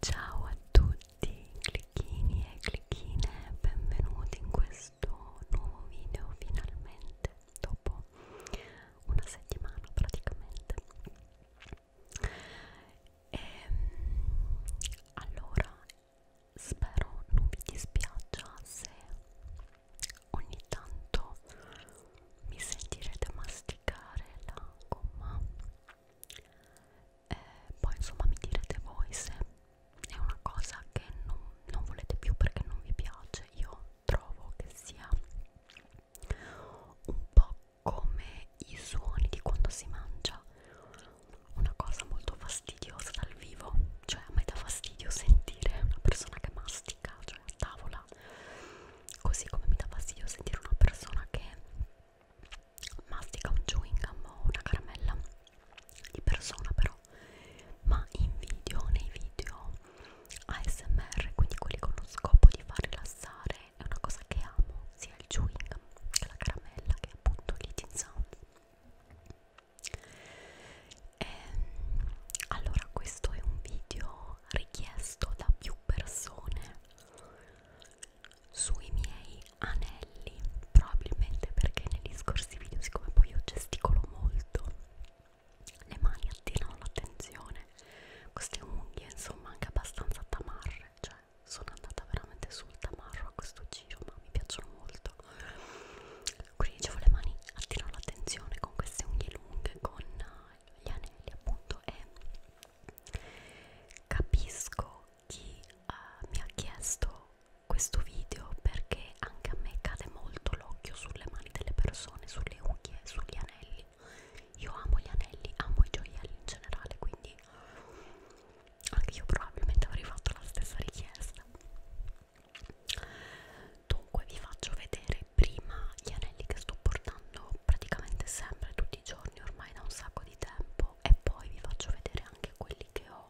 Ciao a tutti clicchini e clicchine, benvenuti in questo nuovo video finalmente dopo una settimana praticamente. E, ehm, allora spero non vi dispiaccia se ogni tanto mi sentirete masticare la gomma eh, poi insomma mi direte voi se è una cosa che non, non volete più perché non vi piace io trovo che sia un po' come i suoni di quando si mangia una cosa molto fastidiosa dal vivo cioè a me dà fastidio sentire una persona che mastica cioè a tavola così come mi dà fastidio sentire una persona che mastica un chewing gum o una caramella di persona però ma in video, nei video ASMR quindi quelli con lo scopo di far rilassare è una cosa che amo sia il chewing gum che la caramella che appunto l'eating sound e, ehm, allora questo è un video richiesto da più persone sui miei anelli probabilmente perché negli scorsi video siccome poi io gesticolo molto le mani attirano l'attenzione queste unghie insomma anche abbastanza tamarre cioè sono andata veramente sul tamarro a questo giro ma mi piacciono molto quindi dicevo le mani attirano l'attenzione con queste unghie lunghe con gli anelli appunto e Capisco chi uh, mi ha chiesto questo video perché anche a me cade molto l'occhio sulle mani delle persone, sulle unghie, sugli anelli. Io amo gli anelli, amo i gioielli in generale, quindi anche io probabilmente avrei fatto la stessa richiesta. Dunque vi faccio vedere prima gli anelli che sto portando praticamente sempre tutti tutti i giorni ormai da un sacco di tempo e poi vi faccio vedere anche quelli che ho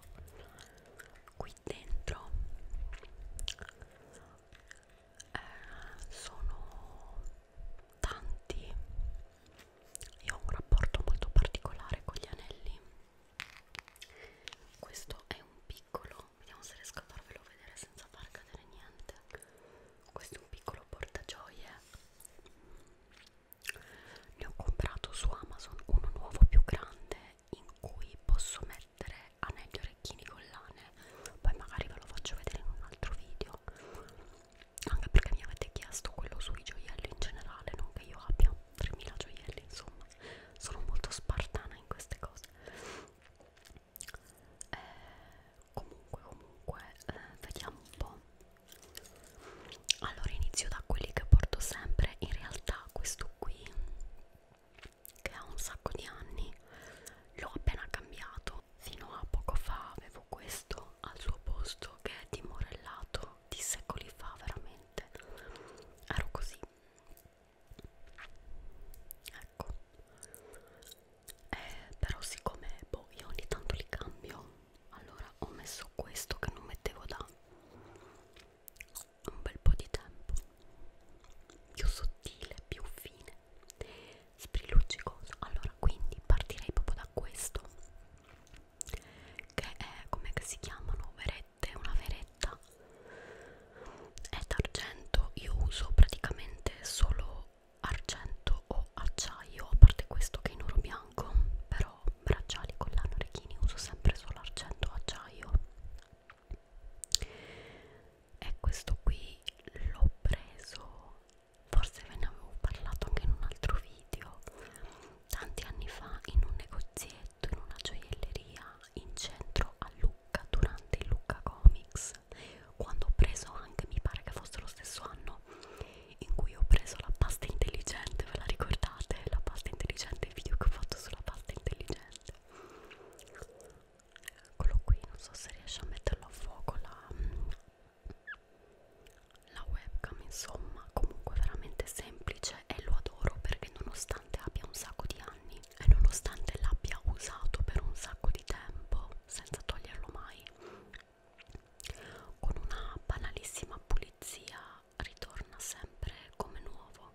qui dentro eh, sono tanti io ho un rapporto molto particolare con gli anelli questo è un piccolo vediamo se riesco a farvelo vedere senza far cadere niente questo è un piccolo portagioie ne ho comprato su Amazon uno nuovo più grande in cui posso mettere anelli, orecchini, collane poi magari ve lo faccio vedere in un altro video anche perché mi avete chiesto quello sui gioielli in generale non che io abbia 3000 gioielli insomma sono molto spartana in queste cose eh, comunque comunque eh, vediamo un po' allora inizio da quelli che porto sempre in realtà questo qui che ha un sacco di anni l'ho appena cambiato fino a poco fa avevo questo al suo posto che è dimorellato di secoli fa veramente ero così ecco eh, però siccome boh, io ogni tanto li cambio allora ho messo questo che non mettevo da un bel po' di tempo più sottile, più fine sbrilluccicoso allora quindi partirei proprio da questo che è come si chiamano verette, una veretta è d'argento, io uso praticamente solo argento o acciaio, a parte questo che è in oro bianco, però bracciali, collane, orecchini uso sempre solo argento o acciaio. E questo qui l'ho preso, forse ve ne avevo parlato anche in un altro video, tanti anni fa in un negozietto, in una gioielleria in centro a Lucca durante il Lucca Comics quando ho preso anche, mi pare che fosse lo stesso anno, in cui ho preso la pasta intelligente, ve la ricordate? La pasta intelligente, il video che ho fatto sulla pasta intelligente. Eccolo qui, non so se riesce a metterlo a fuoco la, la webcam, insomma, comunque veramente semplice e lo adoro perché nonostante abbia un sacco di anni e nonostante l'abbia usato per un sacco di tempo senza toglierlo mai con una banalissima pulizia ritorna sempre come nuovo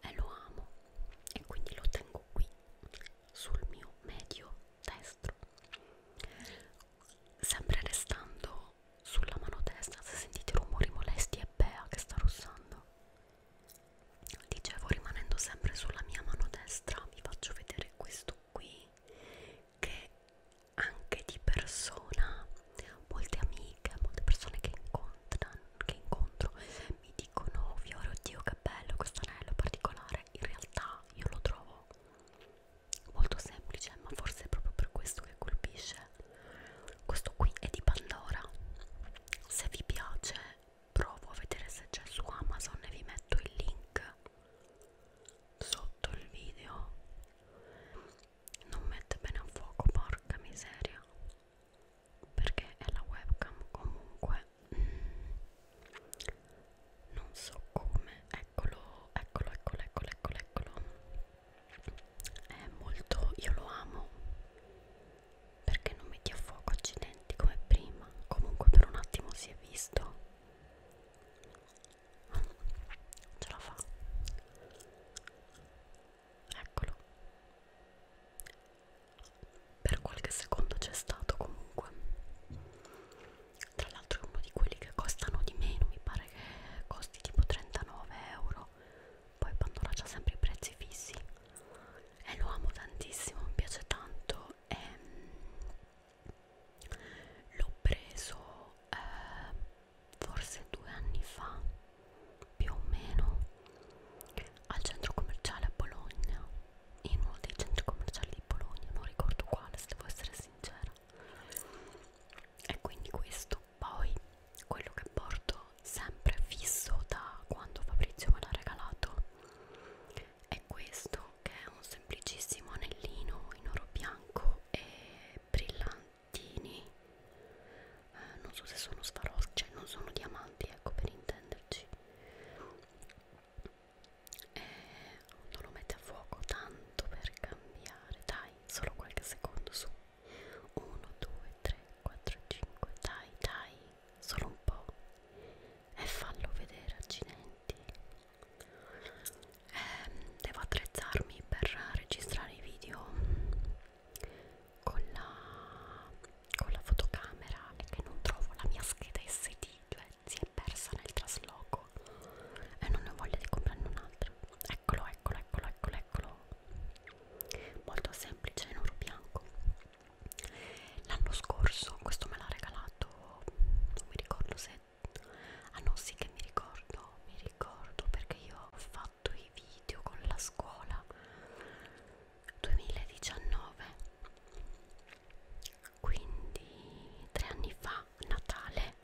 e lo amo e quindi lo tengo qui sul mio medio destro sempre restando sulla mano destra se sentite rumori molesti è Bea che sta russando dicevo rimanendo sempre sulla mia mano destra vi faccio vedere questo qui che anche di persona molte amiche, molte persone che, che incontro mi dicono Fiore, oddio che bello questo anello particolare in realtà io lo trovo molto semplice ma forse è proprio per questo che colpisce questo qui è di Pandora se vi piace provo a vedere se c'è su Amazon e vi metto il link sotto il video non mette bene a fuoco porca miseria perché è la webcam comunque non so come eccolo eccolo eccolo eccolo eccolo eccolo è molto io lo amo perché non metti a fuoco accidenti come prima comunque per un attimo si è visto ce la fa eccolo per qualche secondo c'è stato comunque tra l'altro è uno di quelli che costano di meno mi pare che costi tipo 39 euro poi Pandora c'ha sempre i prezzi fissi e lo amo tantissimo mi piace tanto e ehm, l'ho preso eh, forse due anni fa più o meno al centro commerciale a Bologna in uno dei centri commerciali di Bologna non ricordo quale se devo essere sincera e quindi questo poi quello che porto sempre fisso da quando Fabrizio me l'ha regalato è questo anello che è un semplicissimo anellino in oro bianco e brillantini eh, non so se sono sfaroschi cioè non sono diamanti ecco per intenderci e non lo mette a fuoco tanto per cambiare dai solo qualche secondo su 1 2 3 4 5 dai dai solo un po' e fallo vedere accidenti eh, devo attrezzarmi per registrare i video con la, con la fotocamera e che non trovo la mia scheda SD cioè si è persa nel trasloco e non ho voglia di comprarne un'altra eccolo eccolo eccolo eccolo eccolo molto semplice in oro bianco l'anno scorso questo me l'ha regalato non mi ricordo se Ah no sì che mi ricordo, mi ricordo perché io ho fatto i video con la scuola 2019 quindi tre anni fa Natale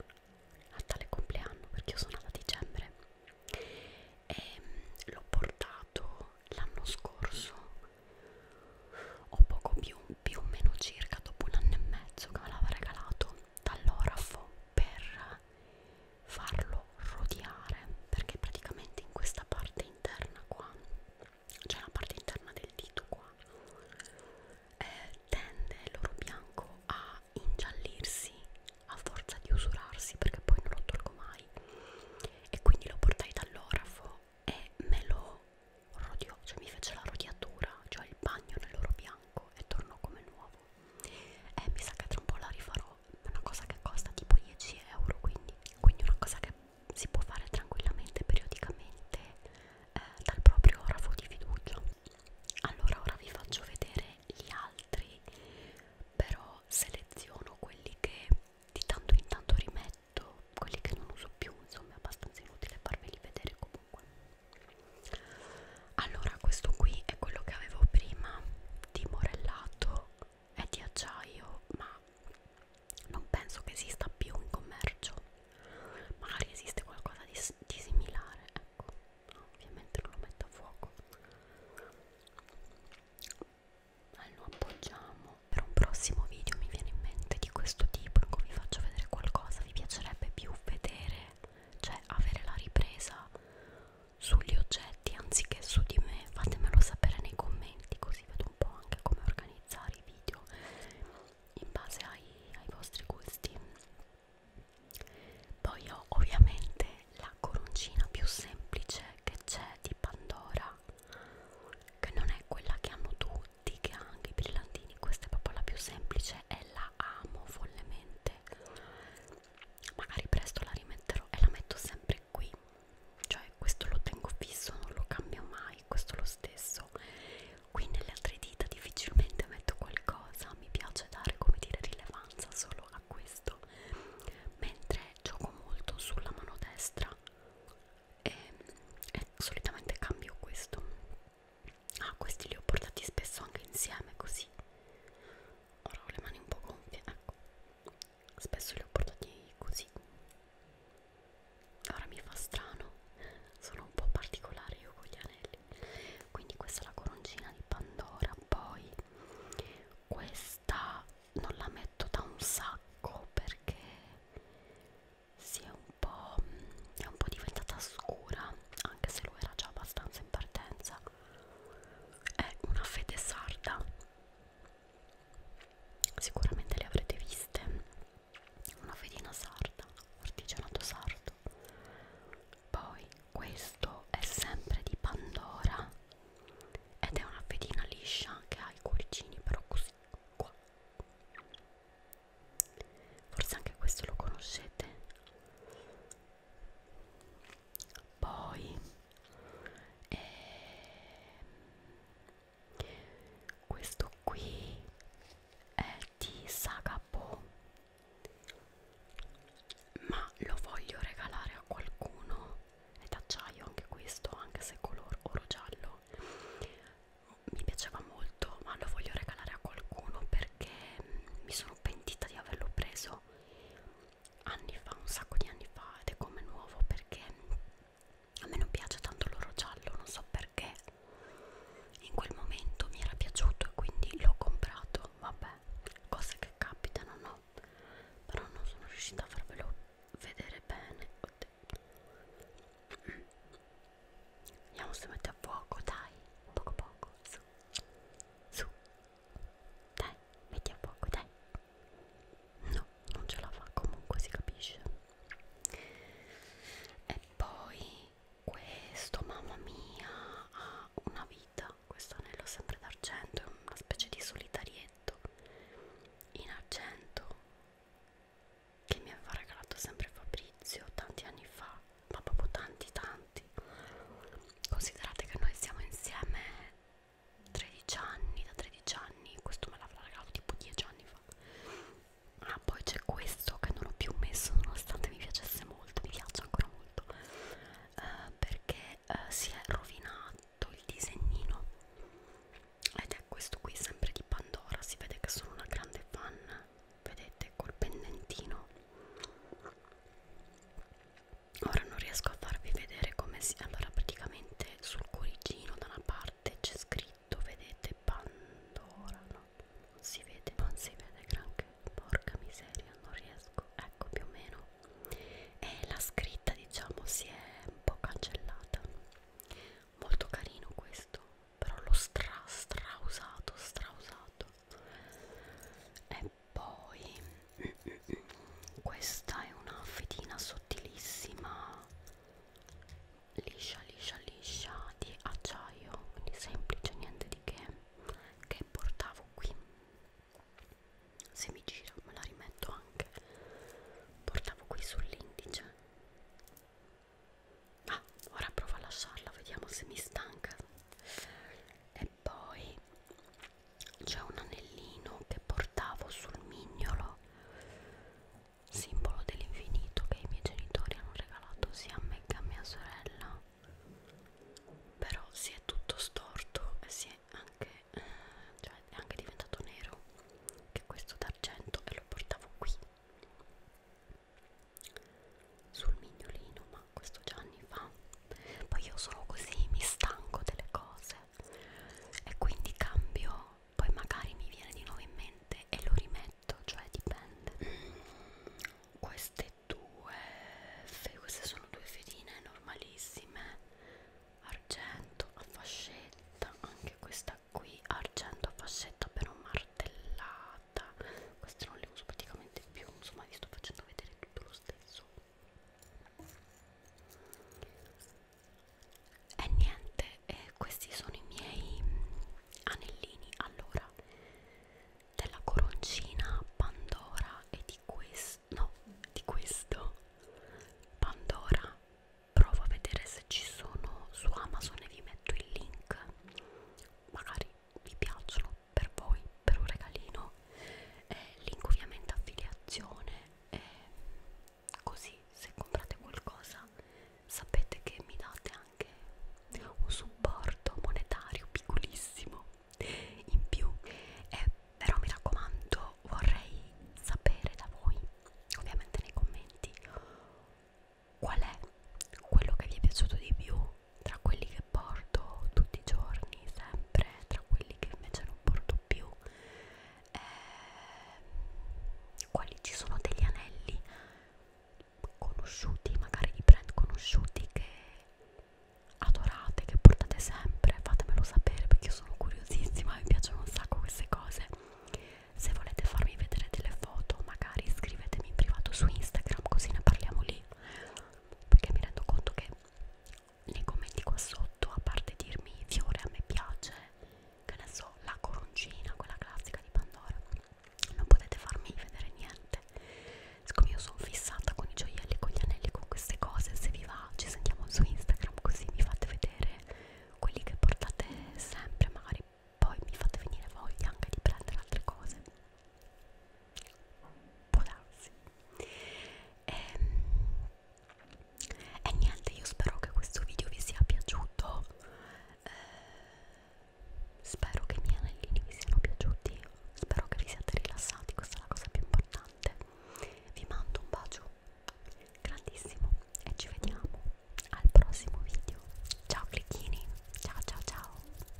Natale compleanno perché io sono nata a dicembre e ehm, l'ho portato l'anno scorso o poco più, più o meno circa dopo un anno e mezzo che me l'aveva regalato dall'orafo per farlo rodeare perché praticamente in questa parte interna qua c'è cioè la parte interna del dito qua eh, tende l'oro bianco a ingiallirsi a forza di usurarsi perché poi non lo tolgo mai e quindi lo portai dall'orafo e me lo rodio, cioè mi fece la rodiatura, cioè il bagno nell'oro bianco e tornò come nuovo. E eh, mi sa che tra un po' la rifarò, è una cosa che costa tipo 10 euro, quindi, quindi una cosa che si può fare tranquillamente, periodicamente, eh, dal proprio orafo di fiducia. Allora, ora vi faccio vedere gli altri, però seleziono quelli che di tanto in tanto rimetto, quelli che non uso più, insomma è abbastanza inutile farveli vedere comunque allora questo qui è quello che avevo prima di morellato è di acciaio ma non penso che esista più in commercio magari esiste qualcosa di, di similare ecco no, ovviamente non lo metto a fuoco ma lo appoggiamo per un prossimo video mi viene in mente di questo tipo in cui vi faccio vedere qualcosa vi piacerebbe più vedere cioè avere la ripresa sugli oggetti anziché su di me fatemelo sapere nei commenti così vedo un po' anche come organizzare i video in base ai, ai vostri gusti poi ho ovviamente la coroncina più semplice che c'è di Pandora che non è quella che hanno tutti che ha anche i brillantini questa è proprio la più semplice è bella, amo follemente. Magari presto la rimetterò e la metto sempre qui. Cioè, questo lo tengo fisso, non lo cambio mai. Questo lo stesso. Qui nelle altre dita difficilmente metto qualcosa. Mi piace dare, come dire, rilevanza solo a questo. Mentre gioco molto sulla mano destra e, e solitamente cambio questo Ah, questi li ho portati spesso anche insieme così. Ora ho le mani un po' gonfie, ecco. Spesso li ho portati così. Ora mi fa strano, sono un po' particolare io con gli anelli. Quindi questa è la coroncina di Pandora, poi questa non la metto da un sacco perché si è un un po', è un po' diventata scura anche se lo era già abbastanza in partenza è una fede sarda sicuramente le avrete viste una fedina sarda artigianato sardo poi questo è sempre di Pandora ed è una fedina liscia che ha i cuoricini però così qua forse anche questo lo conoscete poi eh, questo qui è di Sagapo ma lo voglio regalare a qualcuno è d'acciaio anche questo anche se color oro giallo mi piaceva piaceva molto ma lo voglio regalare a qualcuno perché mm, mi sono pentita di averlo preso anni fa, un sacco di anni fa ed è come nuovo perché mm, a me non piace tanto l'oro giallo, non so perché in quel momento mi era piaciuto e quindi l'ho comprato, vabbè, cose che capitano, no? Però non sono riuscita a farvelo vedere bene. Vediamo se mette a fuoco, dai, poco poco, su, su, dai, metti a fuoco, dai. No, non ce la fa comunque, si capisce. E poi questo, mamma mia, ha una vita, questo anello sempre d'argento, è una specie di solitarietto in argento che mi aveva regalato sempre Fabrizio tanti anni fa ma proprio tanti tanti considerate che noi siamo insieme 13 anni da 13 anni questo me l'avrà regalato tipo 10 anni fa ah poi c'è questo che non ho più messo nonostante mi piacesse molto mi piace ancora molto eh, perché eh, si è rovinato il disegnino ed è questo qui sempre di Pandora si vede che sono una grande fan vedete col pendentino ora non riesco a farvi vedere come si allora praticamente sul cuoricino da una parte c'è scritto vedete Pandora no non si vede non si vede granché porca miseria non riesco ecco più o meno e la scritta diciamo si è un po' cancellata molto carino questo però l'ho stra stra usato stra usato e poi questa è una fedina sottilissima liscia liscia liscia di acciaio quindi semplice niente di che che portavo qui se mi giro me la rimetto anche portavo qui sull'indice ah, ora provo a lasciarlo vediamo se mi stanca e poi c'è un anellino che portavo sul mignolo simbolo dell'infinito che i miei genitori hanno regalato sia a me che a mia sorella però si è tutto storto e si è anche eh, cioè è anche diventato nero che questo d'argento e lo portavo qui sul mignolino ma questo già anni fa poi io sono così mi stanco delle cose e quindi cambio poi magari mi viene di nuovo in mente e lo rimetto cioè dipende mm, queste due queste sono due fedine normalissime argento a fascetta anche questa qui argento a fascetta però martellata fatta queste non le uso praticamente più insomma vi sto facendo vedere tutto lo stesso e niente eh, questi sono i miei mm, anellini allora della coroncina Pandora e di questo no di questo Pandora provo a vedere se ci sono su Amazon e vi metto il link magari vi piacciono per voi, per un regalino, eh, link ovviamente affiliazione, eh, così se comprate qualcosa sapete che mi date anche un supporto monetario piccolissimo in più, eh, però mi raccomando vorrei sapere da voi, ovviamente nei commenti, qual è quello che vi è piaciuto di più tra quelli che porto tutti i giorni sempre tra quelli che invece non porto più eh, quali ci sono degli anelli conosciuti magari di brand conosciuti che adorate che portate sempre fatemelo sapere perché io sono curiosissima mi piacciono un sacco queste cose se volete farmi vedere delle foto magari scrivetemi in privato su Instagram così ne parliamo lì perché mi rendo conto che nei commenti qua sotto, a parte dirmi fiore a me piace, che ne so, la coroncina, quella classica di Pandora, non potete farmi vedere niente. Siccome io sono fissata con i gioielli, con gli anelli, con queste cose, se vi va ci sentiamo su Instagram così mi fate vedere quelli che portate sempre, magari poi mi fate venire voglia anche di prendere altre cose può darsi e, ehm, e niente io spero che questo video vi sia piaciuto eh, spero che i miei anellini vi siano piaciuti spero che vi siate rilassati questa è la cosa più importante vi mando un bacio grandissimo e ci vediamo al prossimo video ciao clicchini ciao ciao ciao